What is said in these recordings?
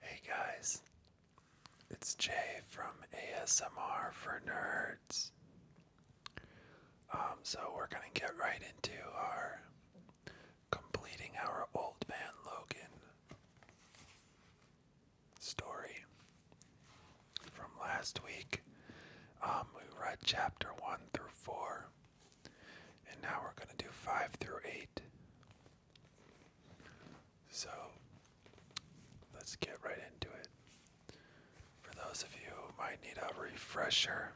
Hey guys, it's Jay from ASMR for Nerds. Um, so we're gonna get right into our completing our old man Logan story from last week. Um, we read chapter one through four. And now we're going to do 5 through 8. So let's get right into it. For those of you who might need a refresher,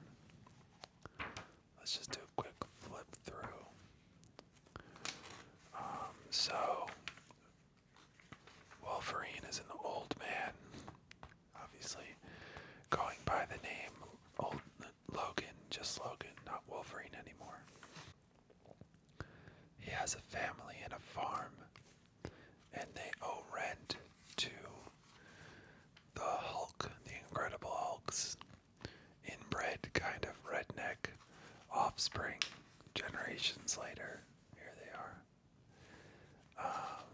let's just do a quick flip through. Um, so, Wolverine is an old man obviously. Going by the name Old Logan, just Logan, not Wolverine anymore. He has a family and a farm, and they owe rent to the Hulk, the Incredible Hulk's inbred kind of redneck offspring. Generations later, here they are. Um,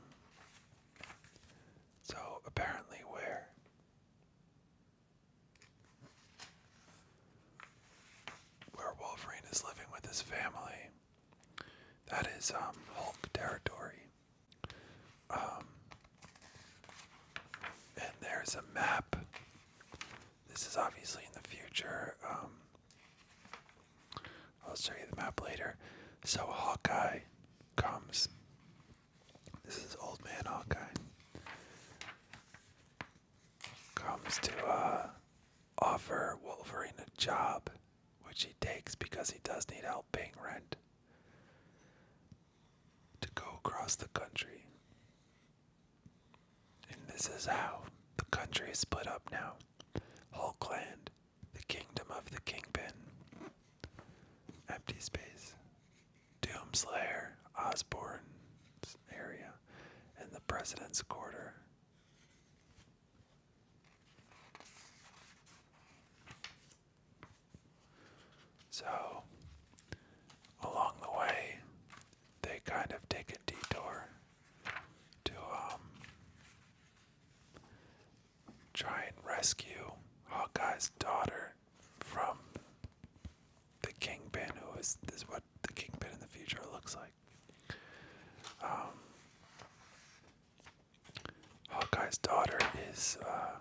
so apparently, where? Where Wolverine is living with his family. That is um, Hulk territory. Um, and there's a map. This is obviously in the future. Um, I'll show you the map later. So Hawkeye comes this is Old Man Hawkeye. Comes to uh, offer Wolverine a job, which he takes because he does need help paying rent to go across the country. And this is how the country is split up now Hulkland, the kingdom of the kingpin. Empty space. Doomslayer, Osborne area, and the President's Quarter. So, along the way, they kind of take a detour to um, try and rescue Hawkeye's daughter from the Kingpin, who is this is what the Kingpin in the future looks like. Um, Hawkeye's daughter is uh,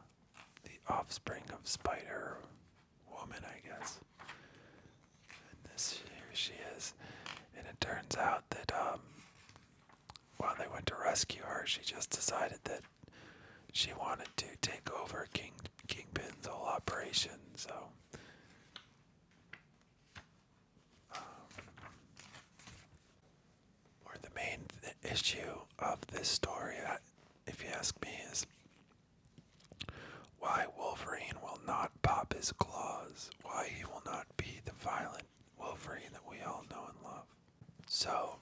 the offspring of Spider Woman, I guess. this here she is, and it turns out that um, while they went to rescue her, she just decided that she wanted to take over King Kingpin's whole operation. So, um, or the main issue of this story, uh, if you ask me, is why Wolverine will not pop his claws, why he will not be the violent Wolverine that we all know and love. So,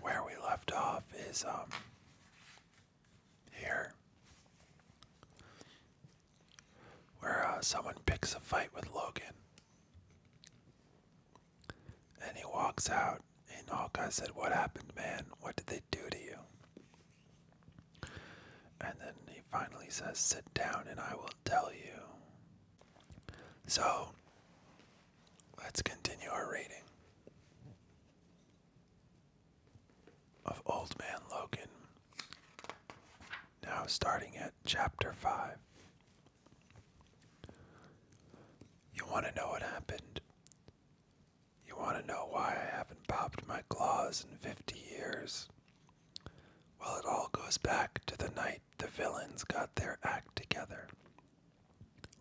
where we left off is um, here where uh, someone picks a fight with Logan and he walks out and Hawkeye said what happened man what did they do to you and then he finally says sit down and I will tell you so Let's continue our reading of Old Man Logan. Now starting at chapter 5. You want to know what happened? You want to know why I haven't popped my claws in 50 years? Well, it all goes back to the night the villains got their act together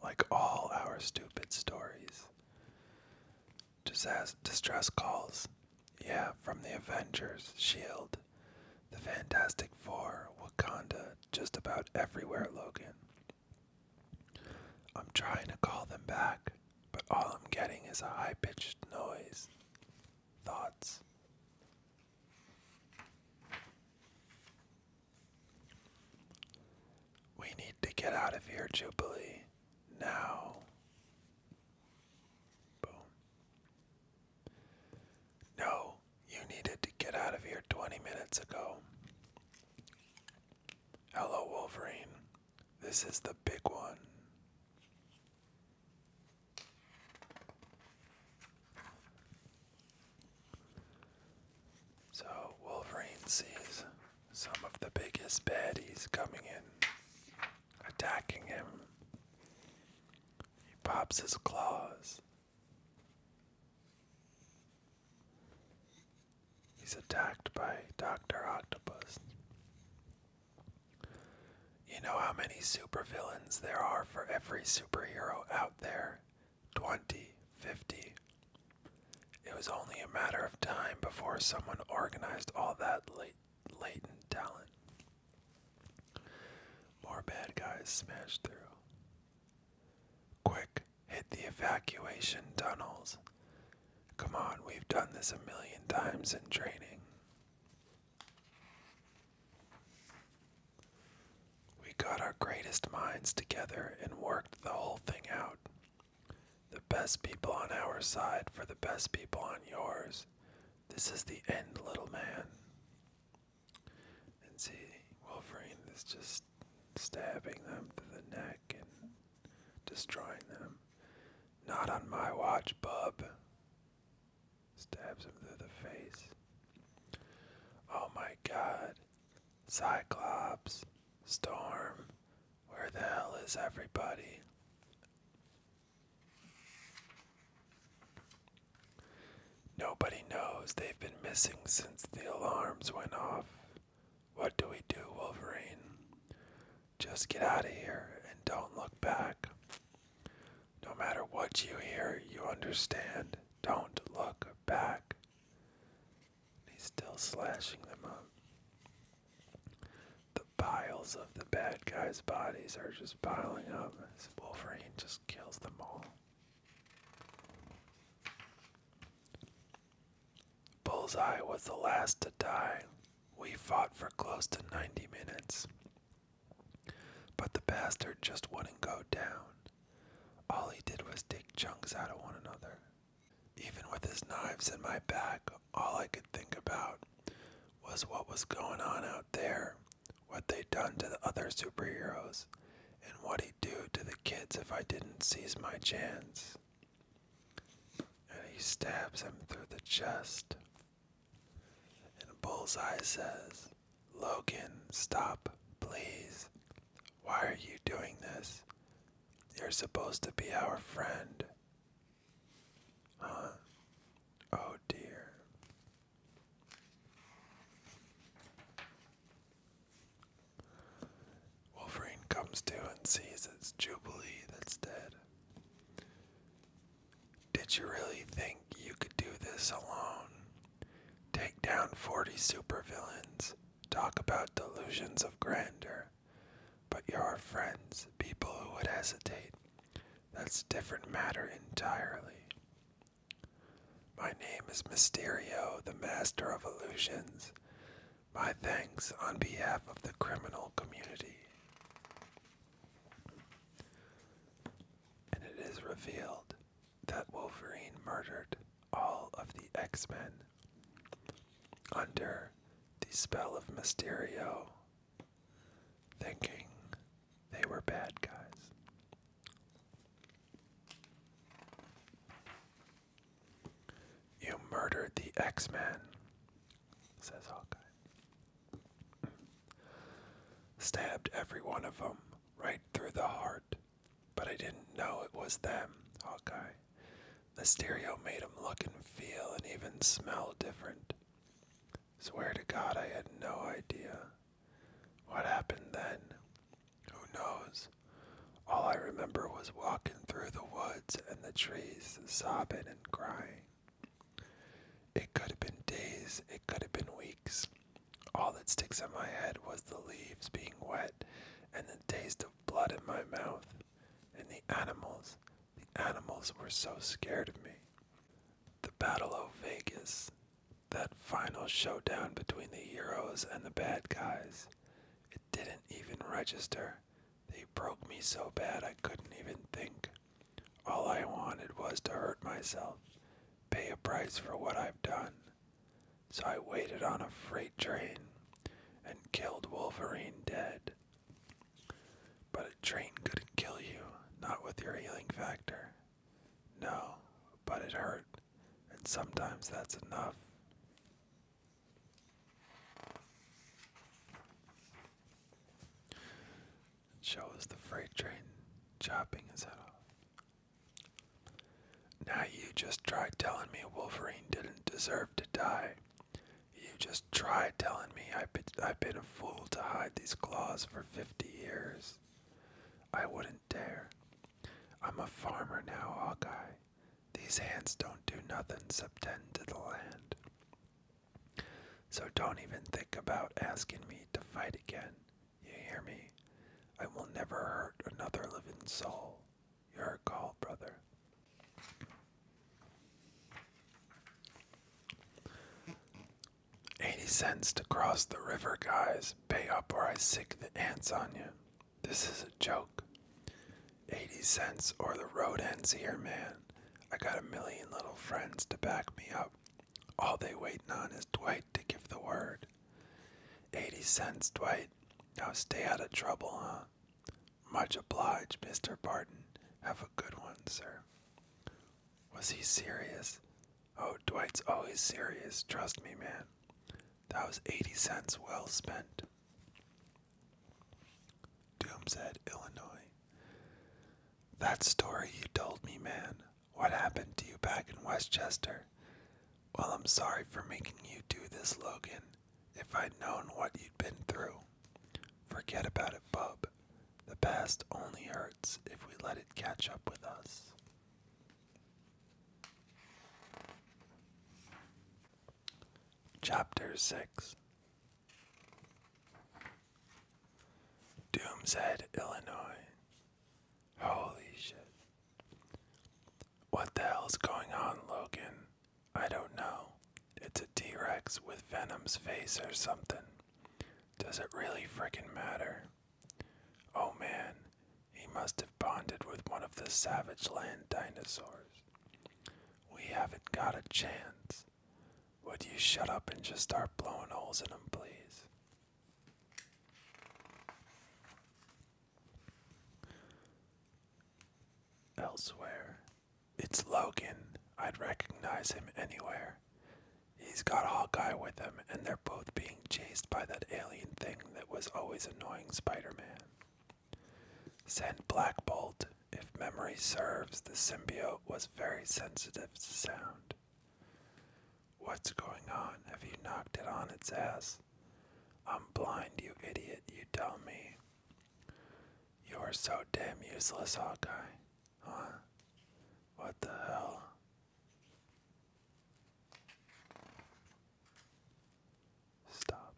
like all our stupid stories. distress calls. Yeah, from the Avengers, S.H.I.E.L.D., the Fantastic Four, Wakanda, just about everywhere, Logan. I'm trying to call them back, but all I'm getting is a high pitched noise. Thoughts. We need to get out of here, Jubilee. Now. No, you needed to get out of here 20 minutes ago. Hello, Wolverine. This is the big one. So Wolverine sees some of the biggest baddies coming in, attacking him. He pops his claws. He's attacked by Dr. Octopus. You know how many super villains there are for every superhero out there, twenty, fifty. It was only a matter of time before someone organized all that latent talent. More bad guys smashed through. Quick, hit the evacuation tunnels. Come on, we've done this a million times in training. We got our greatest minds together and worked the whole thing out. The best people on our side for the best people on yours. This is the end, little man. And see, Wolverine is just stabbing them through the neck and destroying them. Not on my watch, bub. Stabs him through the face. Oh my god. Cyclops, Storm, where the hell is everybody? Nobody knows. They've been missing since the alarms went off. What do we do, Wolverine? Just get out of here and don't look back. No matter what you hear, you understand. Don't look back. he's still slashing them up. The piles of the bad guys' bodies are just piling up Wolverine just kills them all. Bullseye was the last to die. We fought for close to 90 minutes. But the bastard just wouldn't go down. All he did was dig chunks out of one another. Even with his knives in my back, all I could think about was what was going on out there, what they'd done to the other superheroes, and what he'd do to the kids if I didn't seize my chance. And he stabs him through the chest. And Bullseye says, Logan, stop, please. Why are you doing this? You're supposed to be our friend. Huh? Oh dear. Wolverine comes to and sees it's Jubilee that's dead. Did you really think you could do this alone? Take down 40 supervillains. Talk about delusions of grandeur. But your friends, people who would hesitate, that's a different matter entirely. My name is Mysterio, the master of illusions. My thanks on behalf of the criminal community. And it is revealed that Wolverine murdered all of the X Men under the spell of Mysterio, thinking they were bad guys. You murdered the X Men, says Hawkeye. Stabbed every one of them right through the heart but I didn't know it was them, Hawkeye. The stereo made him look and feel and even smell different. Swear to God, I had no idea. What happened then? Who knows? All I remember was walking through the woods and the trees, sobbing and crying. It could have been days, it could have been weeks, all that sticks in my head was the leaves being wet and the taste of blood in my mouth. And the animals, the animals were so scared of me. The Battle of Vegas, that final showdown between the heroes and the bad guys. It didn't even register. They broke me so bad I couldn't even think. All I wanted was to hurt myself, pay a price for what I've done. So I waited on a freight train and killed Wolverine dead. But a train couldn't kill you, not with your healing factor. No, but it hurt, and sometimes that's enough. Shows the freight train chopping his off. Now you just try telling me Wolverine didn't deserve to die. You just try telling me I've been, I've been a fool to hide these claws for 50 years. I wouldn't dare. I'm a farmer now, Hawkeye. These hands don't do nothing except tend to the land. So don't even think about asking me to fight again. You hear me? I will never hurt another living soul. Your call, brother. Eighty cents to cross the river, guys. Pay up or I sick the ants on you. This is a joke. Eighty cents or the road ends here, man. I got a million little friends to back me up. All they waiting on is Dwight to give the word. Eighty cents, Dwight. Now stay out of trouble, huh? Much obliged, Mr. Barton. Have a good one, sir. Was he serious? Oh, Dwight's always serious. Trust me, man. That was 80 cents well spent. Doomshead, Illinois. That story you told me, man. What happened to you back in Westchester? Well, I'm sorry for making you do this, Logan. If I'd known what you'd been through. Forget about it, bub. The past only hurts if we let it catch up with us. Chapter 6 Doomshead, Illinois. Holy shit. What the hell's going on, Logan? I don't know. It's a T Rex with Venom's face or something. Does it really fricking matter? Oh man, he must have bonded with one of the Savage Land dinosaurs. We haven't got a chance. Would you shut up and just start blowing holes in him, please? Elsewhere. It's Logan. I'd recognize him anywhere. He's got Hawkeye with him, and they're both being chased by that alien thing that was always annoying Spider Man. Send Black Bolt. If memory serves, the symbiote was very sensitive to sound. What's going on? Have you knocked it on its ass? I'm blind, you idiot, you tell me. You are so damn useless, Hawkeye. Huh? What the hell? Stop.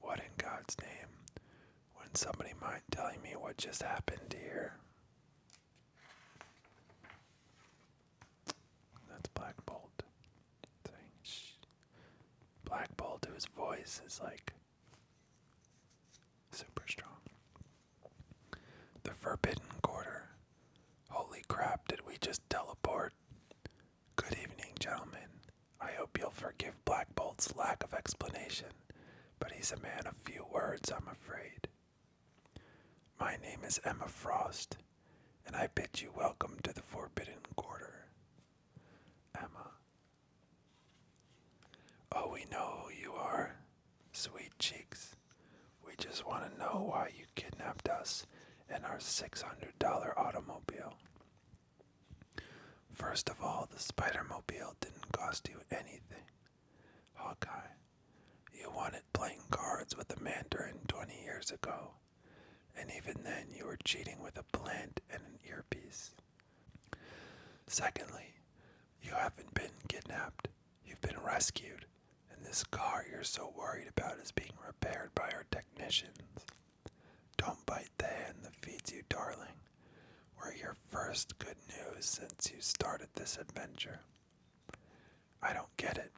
What in God's name? would somebody mind telling me what just happened here? That's Black Bolt. Black Bolt, whose voice is like super strong. The Forbidden Quarter. Holy crap, did we just teleport? Good evening, gentlemen. I hope you'll forgive Black Bolt's lack of explanation, but he's a man of few words, I'm afraid. My name is Emma Frost, and I bid you welcome to the Forbidden Quarter. Emma. Oh, we know who you are, sweet cheeks. We just want to know why you kidnapped us and our $600 automobile. First of all, the Spider Mobile didn't cost you anything. Hawkeye, you wanted playing cards with the Mandarin 20 years ago, and even then you were cheating with a plant and an earpiece. Secondly, you haven't been kidnapped, you've been rescued, and this car you're so worried about is being repaired by our technicians. Don't bite the hand that feeds you, darling. We're your first good news since you started this adventure. I don't get it.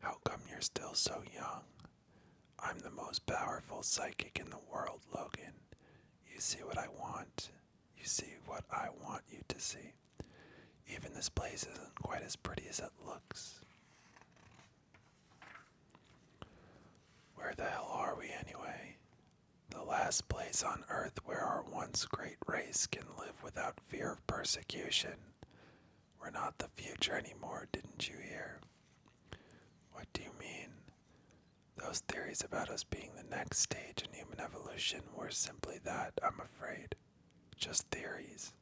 How come you're still so young? I'm the most powerful psychic in the world, Logan. You see what I want. You see what I want you to see. Even this place isn't quite as pretty as it looks. Where the hell are we anyway? the last place on earth where our once great race can live without fear of persecution. We're not the future anymore, didn't you hear? What do you mean? Those theories about us being the next stage in human evolution were simply that, I'm afraid. Just theories.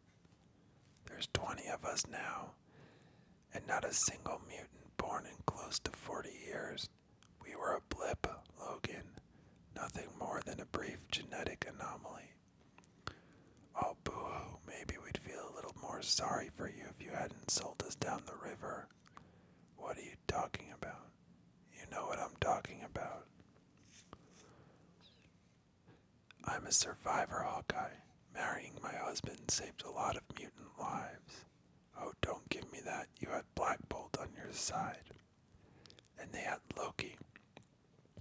There's 20 of us now, and not a single mutant born in close to 40 years. We were a blip, Logan, nothing more than a brief genetic anomaly. Oh, boo hoo, maybe we'd feel a little more sorry for you if you hadn't sold us down the river. What are you talking about? You know what I'm talking about. I'm a survivor, Hawkeye. Marrying my husband saved a lot of mutant lives. Oh, don't give me that. You had Black Bolt on your side. And they had Loki,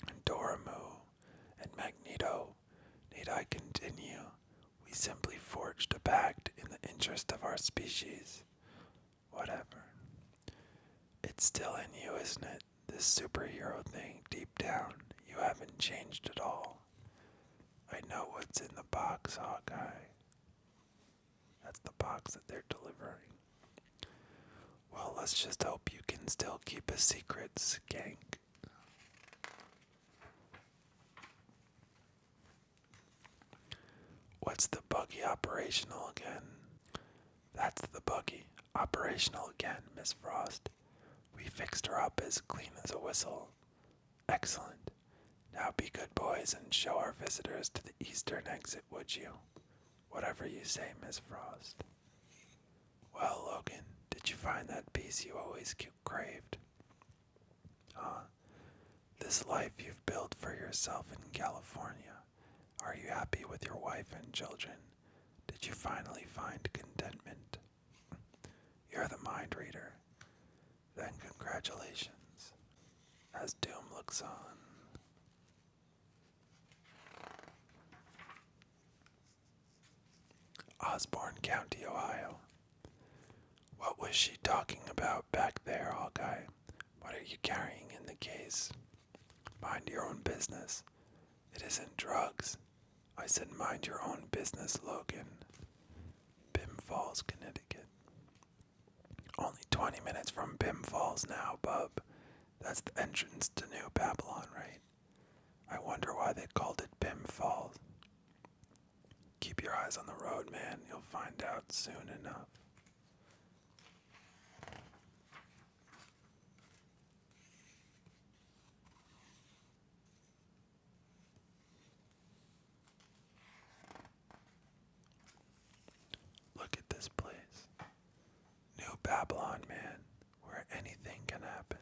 and Doramu, and Magneto. Need I continue? We simply forged a pact in the interest of our species. Whatever. It's still in you, isn't it? This superhero thing, deep down. You haven't changed at all. I know what's in the box, Hawkeye. That's the box that they're delivering. Well, let's just hope you can still keep a secret, skank. What's the buggy operational again? That's the buggy operational again, Miss Frost. We fixed her up as clean as a whistle. Excellent. Now be good boys and show our visitors to the eastern exit, would you? Whatever you say, Miss Frost. Well, Logan, did you find that peace you always craved? Huh? This life you've built for yourself in California. Are you happy with your wife and children? Did you finally find contentment? You're the mind reader. Then congratulations. As doom looks on, Osborne County, Ohio. What was she talking about back there, Hawkeye? What are you carrying in the case? Mind your own business. It isn't drugs. I said, mind your own business, Logan. Bim Falls, Connecticut. Only 20 minutes from Bim Falls now, bub. That's the entrance to New Babylon, right? I wonder why they called it Bim Falls. Keep your eyes on the road, man. You'll find out soon enough. Look at this place. New Babylon, man, where anything can happen.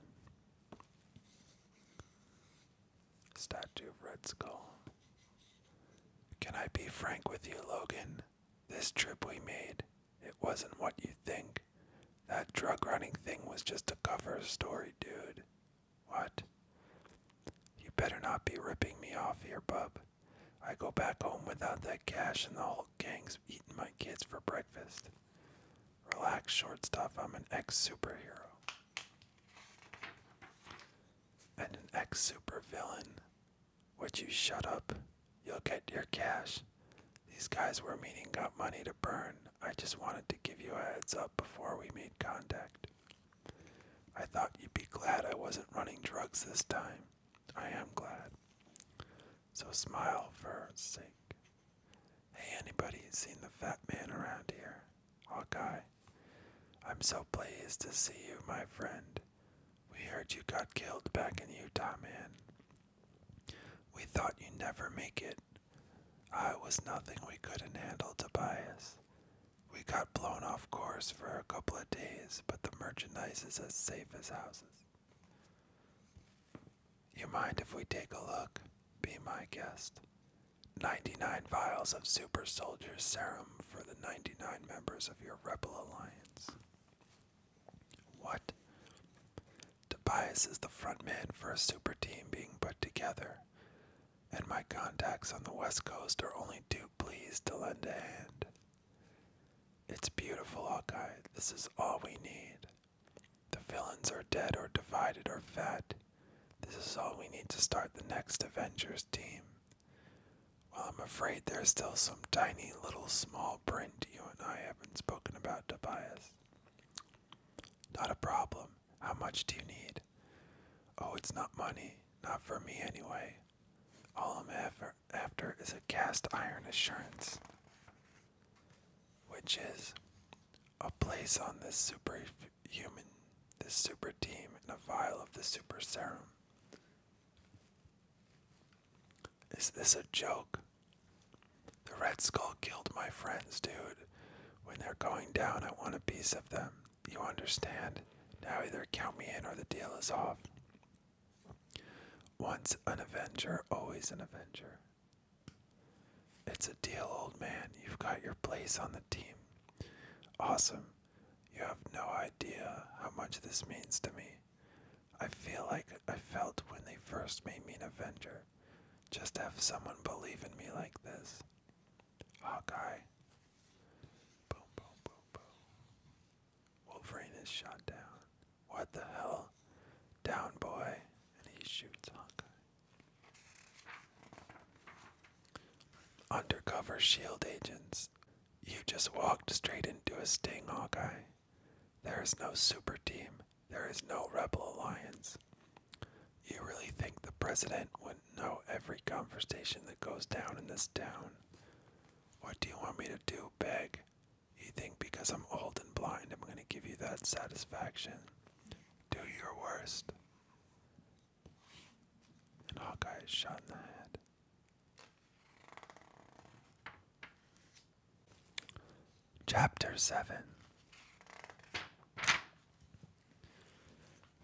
Statue of Red Skull. Can I be frank with you, Logan? This trip we made, it wasn't what you think. That drug running thing was just a cover story, dude. What? You better not be ripping me off here, bub. I go back home without that cash, and the whole gang's eating my kids for breakfast. Relax, short stuff. I'm an ex superhero. And an ex supervillain. Would you shut up? You'll get your cash. These guys we're meeting got money to burn. I just wanted to give you a heads up before we made contact. I thought you'd be glad I wasn't running drugs this time. I am glad. So smile for her sake. Hey, anybody seen the fat man around here? Hawkeye. I'm so pleased to see you, my friend. We heard you got killed back in Utah, man. We thought you never make it. I was nothing we couldn't handle, Tobias. We got blown off course for a couple of days but the merchandise is as safe as houses. You mind if we take a look? Be my guest. 99 vials of Super Soldier Serum for the 99 members of your Rebel Alliance. What? Tobias is the front man for a super team being put together, and my contacts on the West Coast are only too pleased to lend a hand. It's beautiful, Hawkeye. This is all we need. The villains are dead or divided or fed. This is all we need to start the next Avengers team. Well, I'm afraid there's still some tiny little small print you and I haven't spoken about, Tobias. Not a problem. How much do you need? Oh, it's not money. Not for me, anyway. All I'm ever after is a cast iron assurance, which is a place on this superhuman, this super team, and a vial of the super serum. Is this a joke? The Red Skull killed my friends, dude. When they're going down, I want a piece of them. You understand? Now either count me in or the deal is off. Once an Avenger, always an Avenger. It's a deal, old man. You've got your place on the team. Awesome. You have no idea how much this means to me. I feel like I felt when they first made me an Avenger. Just have someone believe in me like this. Hawkeye. Boom, boom, boom, boom. Wolverine is shot down. What the hell? Down, boy. And he shoots Hawkeye. Undercover shield agents. You just walked straight into a sting, Hawkeye. There is no super team. There is no rebel alliance. You really think the president would know every conversation that goes down in this town? What do you want me to do, Beg? You think because I'm old and blind, I'm going to give you that satisfaction. Do your worst. And Hawkeye is shot in the head. Chapter 7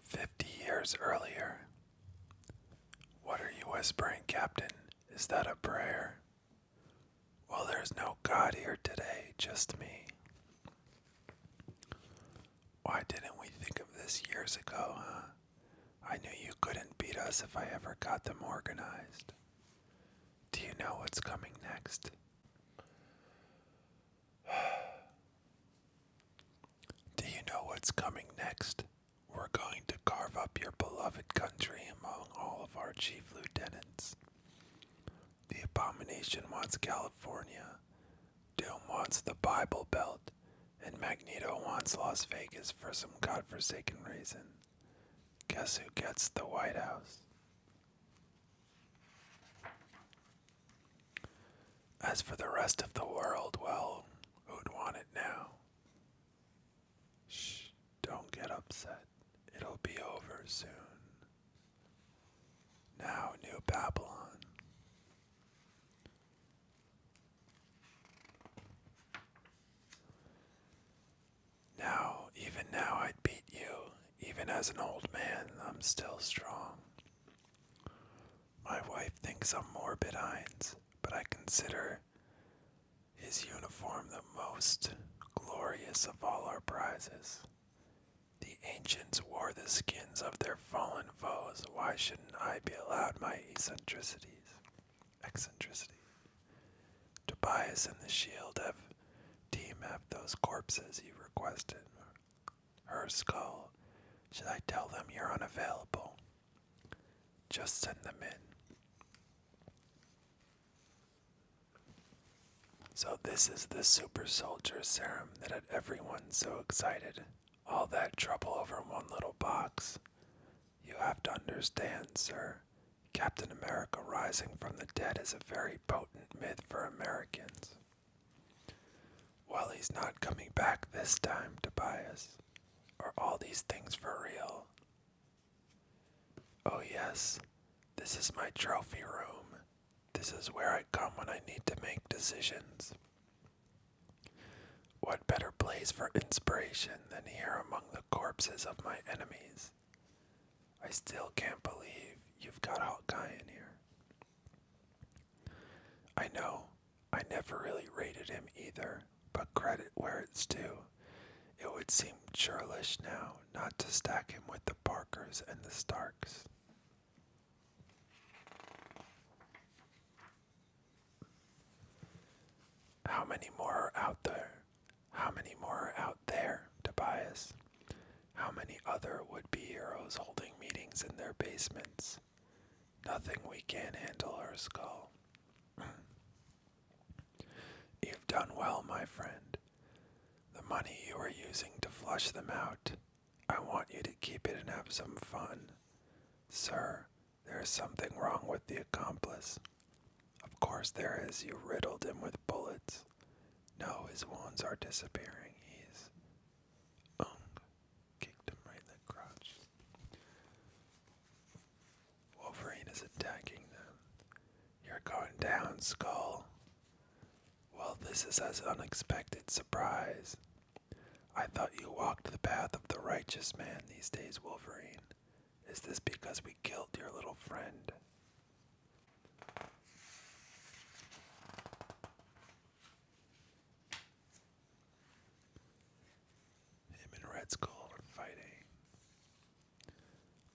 Fifty years earlier. What are you whispering, Captain? Is that a prayer? Well, there's no God here today, just me. Why didn't we think of this years ago, huh? I knew you couldn't beat us if I ever got them organized. Do you know what's coming next? Do you know what's coming next? We're going to carve up your beloved country among all of our chief lieutenants. The abomination wants California, Doom wants the Bible Belt, and Magneto wants Las Vegas for some godforsaken reason. Guess who gets the White House? As for the rest of the world, well, who'd want it now? Shh, don't get upset. It'll be over soon. Now, New Babylon. Now, even now, I'd beat you. Even as an old man, I'm still strong. My wife thinks I'm morbid, Heinz, but I consider his uniform the most glorious of all our prizes. The ancients wore the skins of their fallen foes. Why shouldn't I be allowed my eccentricities? Eccentricity. Tobias and the shield have team have those corpses you requested. Her skull. Should I tell them you're unavailable? Just send them in. So, this is the super soldier serum that had everyone so excited. All that trouble over one little box. You have to understand, sir. Captain America rising from the dead is a very potent myth for Americans. Well, he's not coming back this time, Tobias. Are all these things for real? Oh, yes, this is my trophy room. This is where I come when I need to make decisions. What better place for inspiration than here among the corpses of my enemies? I still can't believe you've got Guy in here. I know, I never really rated him either. But credit where it's due. It would seem churlish now not to stack him with the Parkers and the Starks. How many more are out there? How many more are out there, Tobias? How many other would be heroes holding meetings in their basements? Nothing we can't handle, Earthskull. You've done well, my friend. The money you are using to flush them out, I want you to keep it and have some fun. Sir, there is something wrong with the accomplice. Of course there is. You riddled him with bullets. No, his wounds are disappearing. He's. Um, kicked him right in the crotch. Wolverine is attacking them. You're going down, Skull. Well, this is as unexpected surprise. I thought you walked the path of the righteous man these days, Wolverine. Is this because we killed your little friend? Him and Red Skull are fighting.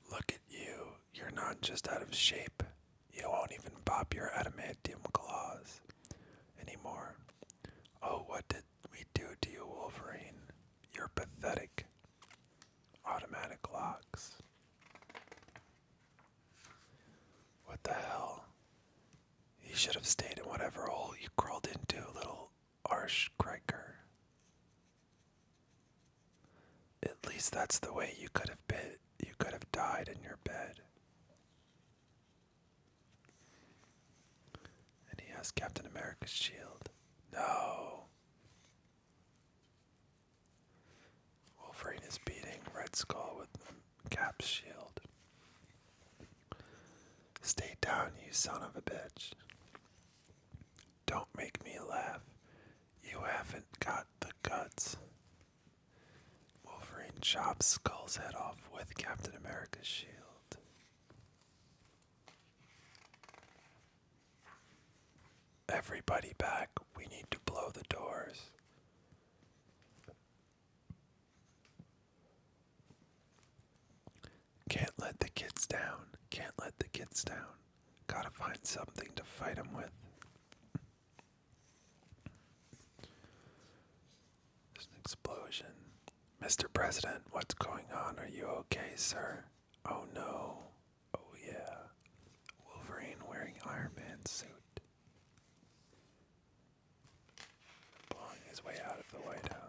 Look at you, you're not just out of shape, you won't even pop your adamantium claws anymore. Oh, what did we do to you, Wolverine? You're pathetic. Automatic locks. What the hell? You should have stayed in whatever hole you crawled into, little Arschkriker. At least that's the way you could have been you could have died in your bed. And he has Captain America's shield. No. Wolverine is beating Red Skull with Cap's shield. Stay down, you son of a bitch. Don't make me laugh. You haven't got the guts. Wolverine chops Skull's head off with Captain America's shield. Everybody back. We need to blow the doors. Can't let the kids down. Can't let the kids down. Gotta find something to fight him with. There's an explosion. Mr. President, what's going on? Are you okay, sir? Oh no. Oh yeah. Wolverine wearing Iron Man suit. Blowing his way out of the White House.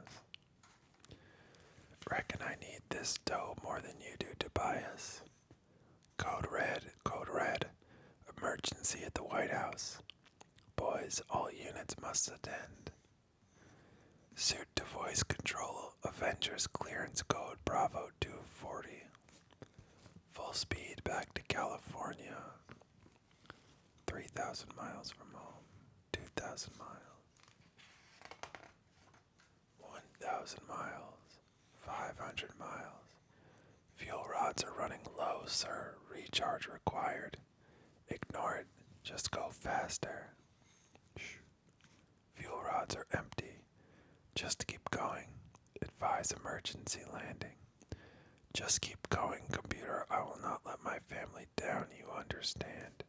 Reckon I need this dough more than you do, Tobias. Code red, code red. Emergency at the White House. Boys, all units must attend. Suit to voice control, Avengers clearance code Bravo 240. Full speed back to California. 3,000 miles from home, 2,000 miles. 1,000 miles, 500 miles. Fuel rods are running low, sir. Recharge required. Ignore it. Just go faster. Shh. Fuel rods are empty. Just keep going. Advise emergency landing. Just keep going, computer. I will not let my family down, you understand.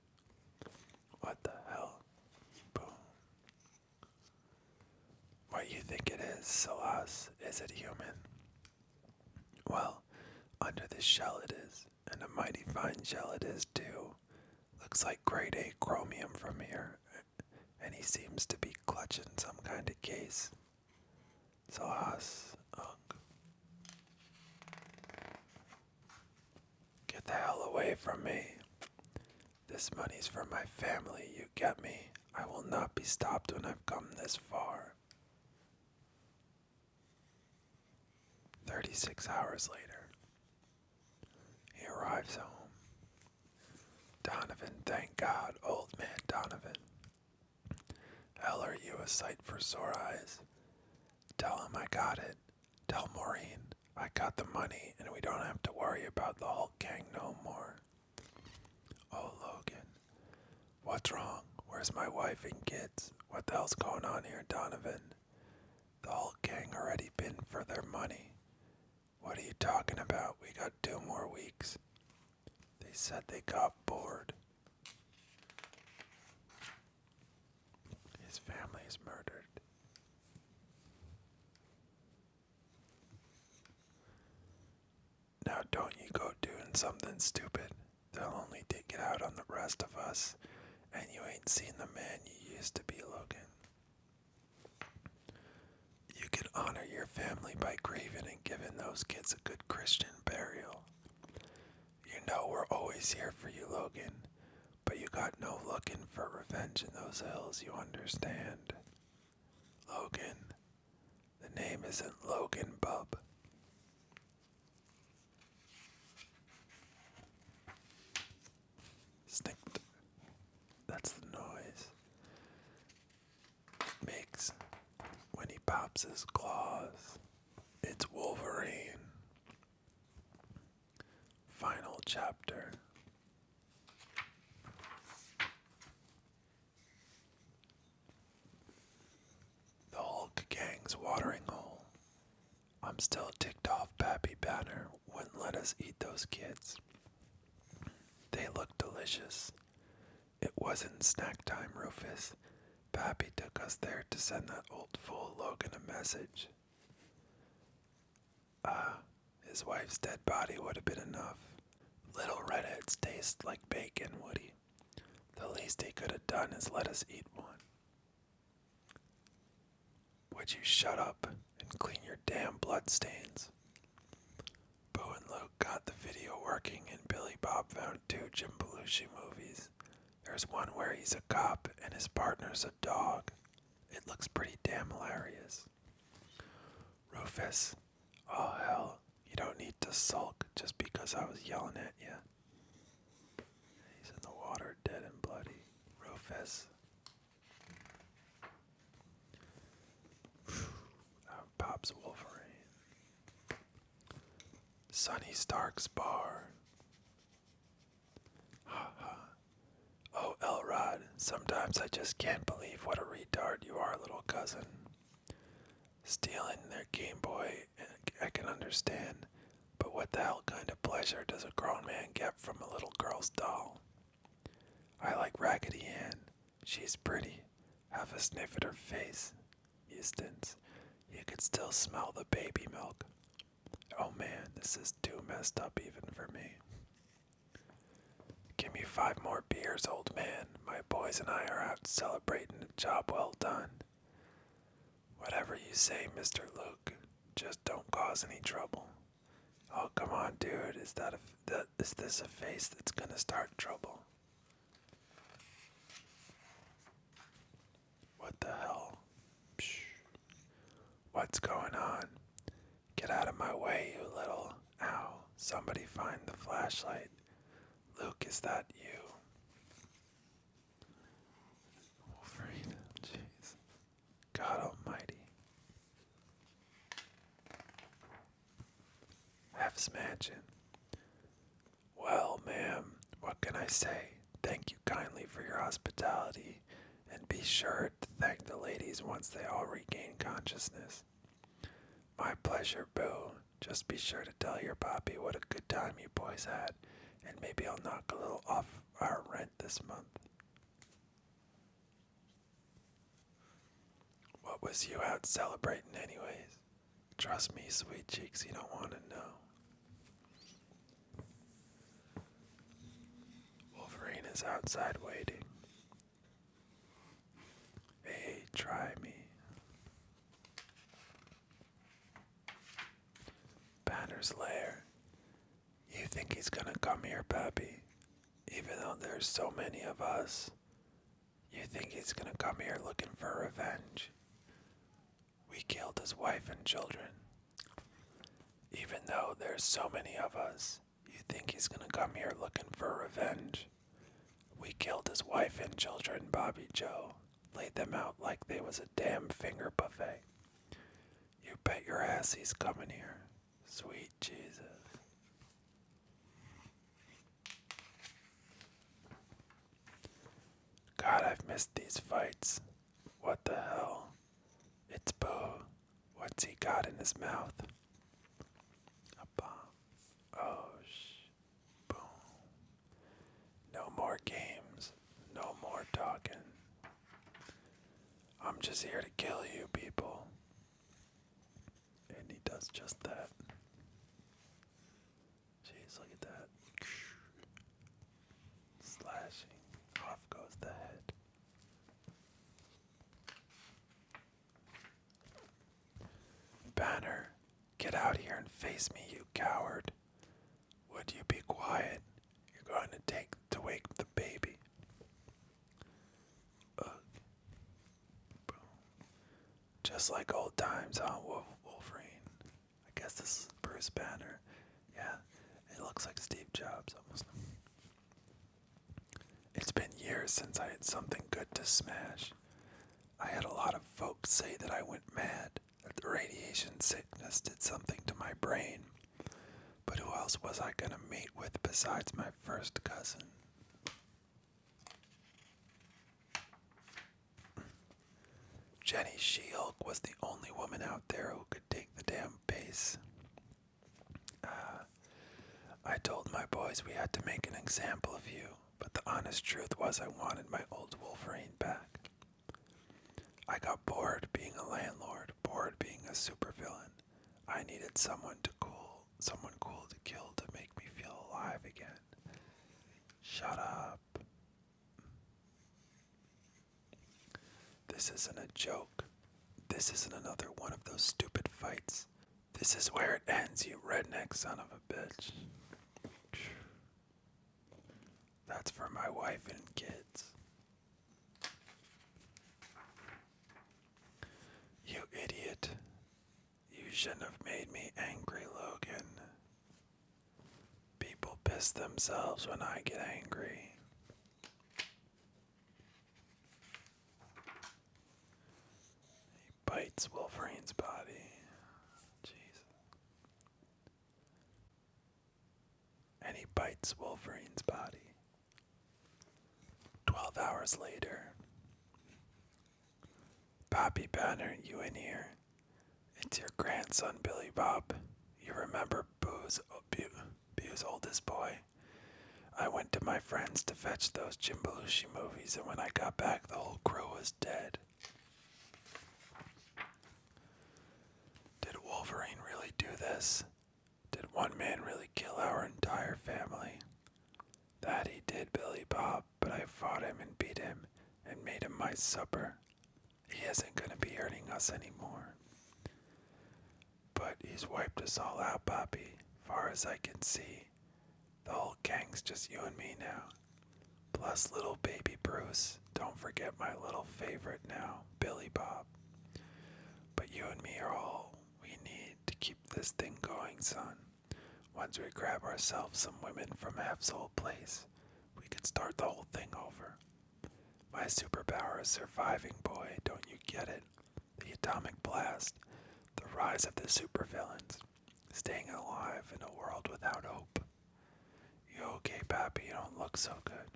What the hell? Boom. What you think it is, Salas, is it human? Well, under this shell it is, and a mighty fine shell it is too. Looks like grade A chromium from here, and he seems to be clutching some kind of case. Salas, unk. Get the hell away from me. This money's for my family, you get me? I will not be stopped when I've come this far. 36 hours later, he arrives home. Donovan, thank God, old man Donovan. Hell, are you a sight for sore eyes? Tell him I got it. Tell Maureen I got the money and we don't have to worry about the Hulk gang no more. Oh, Logan. What's wrong? Where's my wife and kids? What the hell's going on here, Donovan? The Hulk gang already been for their money. What are you talking about? We got two more weeks. They said they got bored. His family is murdered. Now, don't you go doing something stupid. They'll only take it out on the rest of us, and you ain't seen the man you used to be, Logan. You can honor your family by grieving and giving those kids a good Christian burial. You know we're always here for you, Logan but you got no looking for revenge in those hills, you understand? Logan. The name isn't Logan, bub. Snicked. That's the noise it makes when he pops his claws. It's Wolverine. Final chapter. The Hulk Gang's watering hole. I'm still ticked off Pappy Banner wouldn't let us eat those kids. They looked delicious. It wasn't snack time, Rufus. Pappy took us there to send that old fool Logan a message. Uh, his wife's dead body would have been enough. Little redheads taste like bacon, Woody. The least he could have done is let us eat one. Would you shut up and clean your damn bloodstains? Boo and Luke got the video working, and Billy Bob found two Jim Belushi movies. There's one where he's a cop and his partner's a dog. It looks pretty damn hilarious. Rufus, oh hell, you don't need to sulk just because I was yelling at you. He's in the water, dead and bloody. Rufus. Pops Wolverine. Sonny Stark's bar. Ha ha. Oh, Elrod, sometimes I just can't believe what a retard you are, little cousin. Stealing their Game Boy, I can understand, but what the hell kind of pleasure does a grown man get from a little girl's doll? I like Raggedy Ann. She's pretty. Have a sniff at her face. Eustace, you could still smell the baby milk. Oh man, this is too messed up even for me. Give me five more beers, old man. My boys and I are out celebrating a job well done. Whatever you say, Mr. Luke, just don't cause any trouble. Oh, come on, dude. Is that a, that is this a face that's gonna start trouble? What the hell? What's going on? Get out of my way, you little. Ow. Somebody find the flashlight. Luke, is that you? Wolverine, jeez. God almighty. Hef's Mansion. Well, ma'am, what can I say? Thank you kindly for your hospitality, and be sure to thank the ladies once they all regain consciousness. My pleasure, Boo. Just be sure to tell your Poppy what a good time you boys had, and maybe I'll knock a little off our rent this month. What was you out celebrating, anyways? Trust me, sweet cheeks, you don't want to know. Wolverine is outside waiting. Hey, try me. Banner's lair. You think he's gonna come here, Pappy? Even though there's so many of us, you think he's gonna come here looking for revenge? We killed his wife and children. Even though there's so many of us, you think he's gonna come here looking for revenge. We killed his wife and children, Bobby Joe. Laid them out like they was a damn finger buffet. You bet your ass he's coming here. Sweet Jesus. God, I've missed these fights. What the hell? It's Boo. What's he got in his mouth? A bomb. Oh, sh. Boom. No more games. No more talking. I'm just here to kill you people. And he does just that. Jeez, look at that. Slashing. Off goes the head. Banner, get out here and face me, you coward. Would you be quiet? You're going to take to wake the baby. Just like old times, huh, Wolverine? I guess this is Bruce Banner. Yeah, it looks like Steve Jobs almost. It's been years since I had something good to smash. I had a lot of folks say that I went mad, that the radiation sickness did something to my brain. But who else was I gonna meet with besides my first cousin? Jenny she was the only woman out there who could take the damn base. Uh, I told my boys we had to make an example of you, but the honest truth was I wanted my old Wolverine back. I got bored being a landlord, bored being a supervillain. I needed someone to cool, someone cool to kill to make me feel alive again. Shut up. This isn't a joke. This isn't another one of those stupid fights. This is where it ends, you redneck son of a bitch. That's for my wife and kids. You idiot. You shouldn't have made me angry, Logan. People piss themselves when I get angry. He bites Wolverine's body. Jeez. And he bites Wolverine's body. Twelve hours later. Bobby Banner, you in here? It's your grandson, Billy Bob. You remember Boo's oldest boy? I went to my friends to fetch those Jim Belushi movies, and when I got back, the whole crew was dead. Did Wolverine really do this? Did one man really kill our entire family? That he did, Billy Bob, but I fought him and beat him and made him my supper. He isn't going to be hurting us anymore. But he's wiped us all out, Bobby. far as I can see. The whole gang's just you and me now. Plus little baby Bruce. Don't forget my little favorite now, Billy Bob. But you and me are all we need to keep this thing going, son. Once we grab ourselves some women from Hef's old place, we could start the whole thing over. My superpower is surviving, boy, don't you get it? the atomic blast, the rise of the supervillains, staying alive in a world without hope. You okay, Pappy? You don't look so good.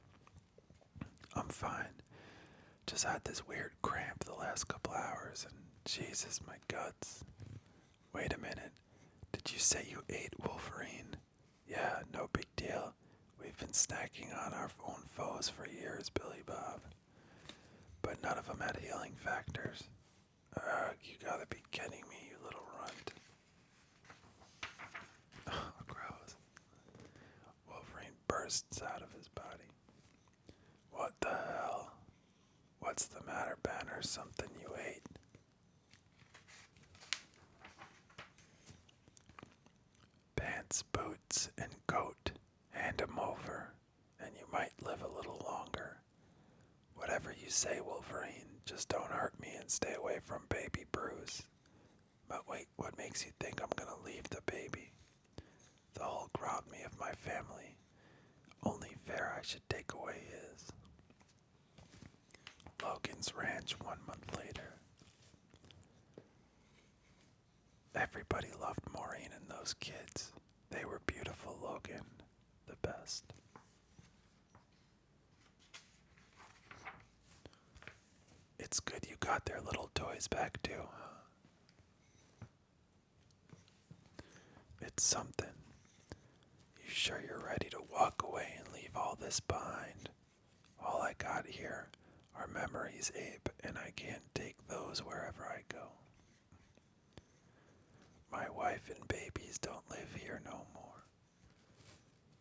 I'm fine. Just had this weird cramp the last couple hours, and Jesus, my guts. Wait a minute. Did you say you ate Wolverine? Yeah, no big deal we've been snacking on our own foes for years, Billy Bob. But none of them had healing factors. you gotta be kidding me, you little runt. Oh, gross. Wolverine bursts out of his body. What the hell? What's the matter, Banner? Something you ate? pants, boots, and coat. Hand 'em over, and you might live a little longer. Whatever you say, Wolverine, just don't hurt me and stay away from baby Bruce. But wait, what makes you think I'm gonna leave the baby? The whole robbed me of my family. Only fair I should take away his. Logan's Ranch one month later. Everybody loved Maureen and those kids. They were beautiful, Logan. The best. It's good you got their little toys back, too. It's something. You sure you're ready to walk away and leave all this behind? All I got here our memories ape, and I can't take those wherever I go. My wife and babies don't live here no more.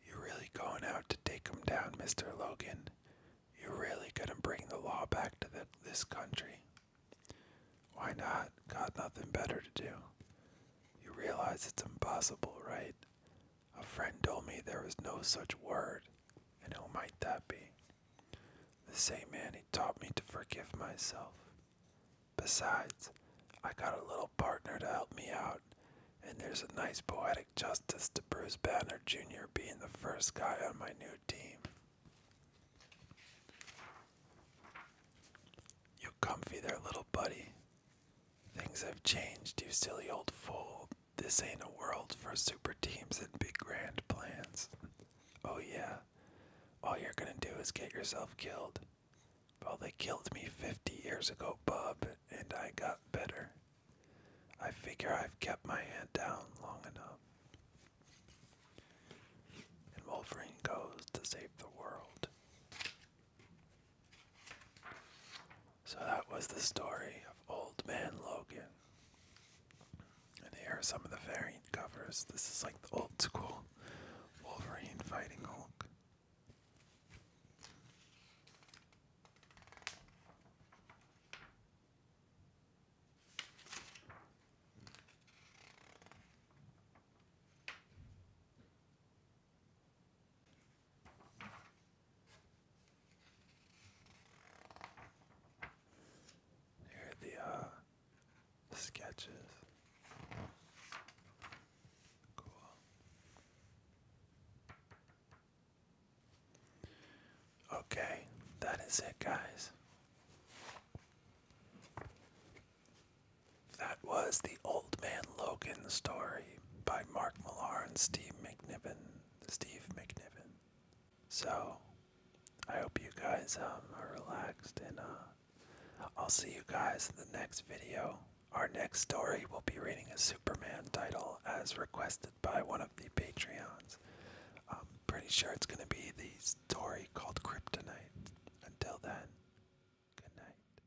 You're really going out to take them down, Mr. Logan. You're really gonna bring the law back to this country. Why not? Got nothing better to do. You realize it's impossible, right? A friend told me there was no such word, and who might that be? The same man who taught me to forgive myself. Besides, I got a little partner to help me out, and there's a nice poetic justice to Bruce Banner Jr. being the first guy on my new team. You comfy there, little buddy. Things have changed, you silly old fool. This ain't a world for super teams and big grand plans. Oh, yeah. All you're gonna do is get yourself killed. Well, they killed me 50 years ago, bub, and I got better. I figure I've kept my hand down long enough. And Wolverine goes to save the world. So that was the story of Old Man Logan. And here are some of the variant covers. This is like the old school Wolverine fighting Hulk. Here uh, the sketches. Cool. Okay, that is it, guys. That was The Old Man Logan Story by Mark Millar and Steve McNiven. Steve McNiven. So, I hope you guys um, are relaxed, and uh, I'll see you guys in the next video. Our next story will be reading a Superman title as requested by one of the Patreons. I'm pretty sure it's going to be the story called Kryptonite. Until then, good night.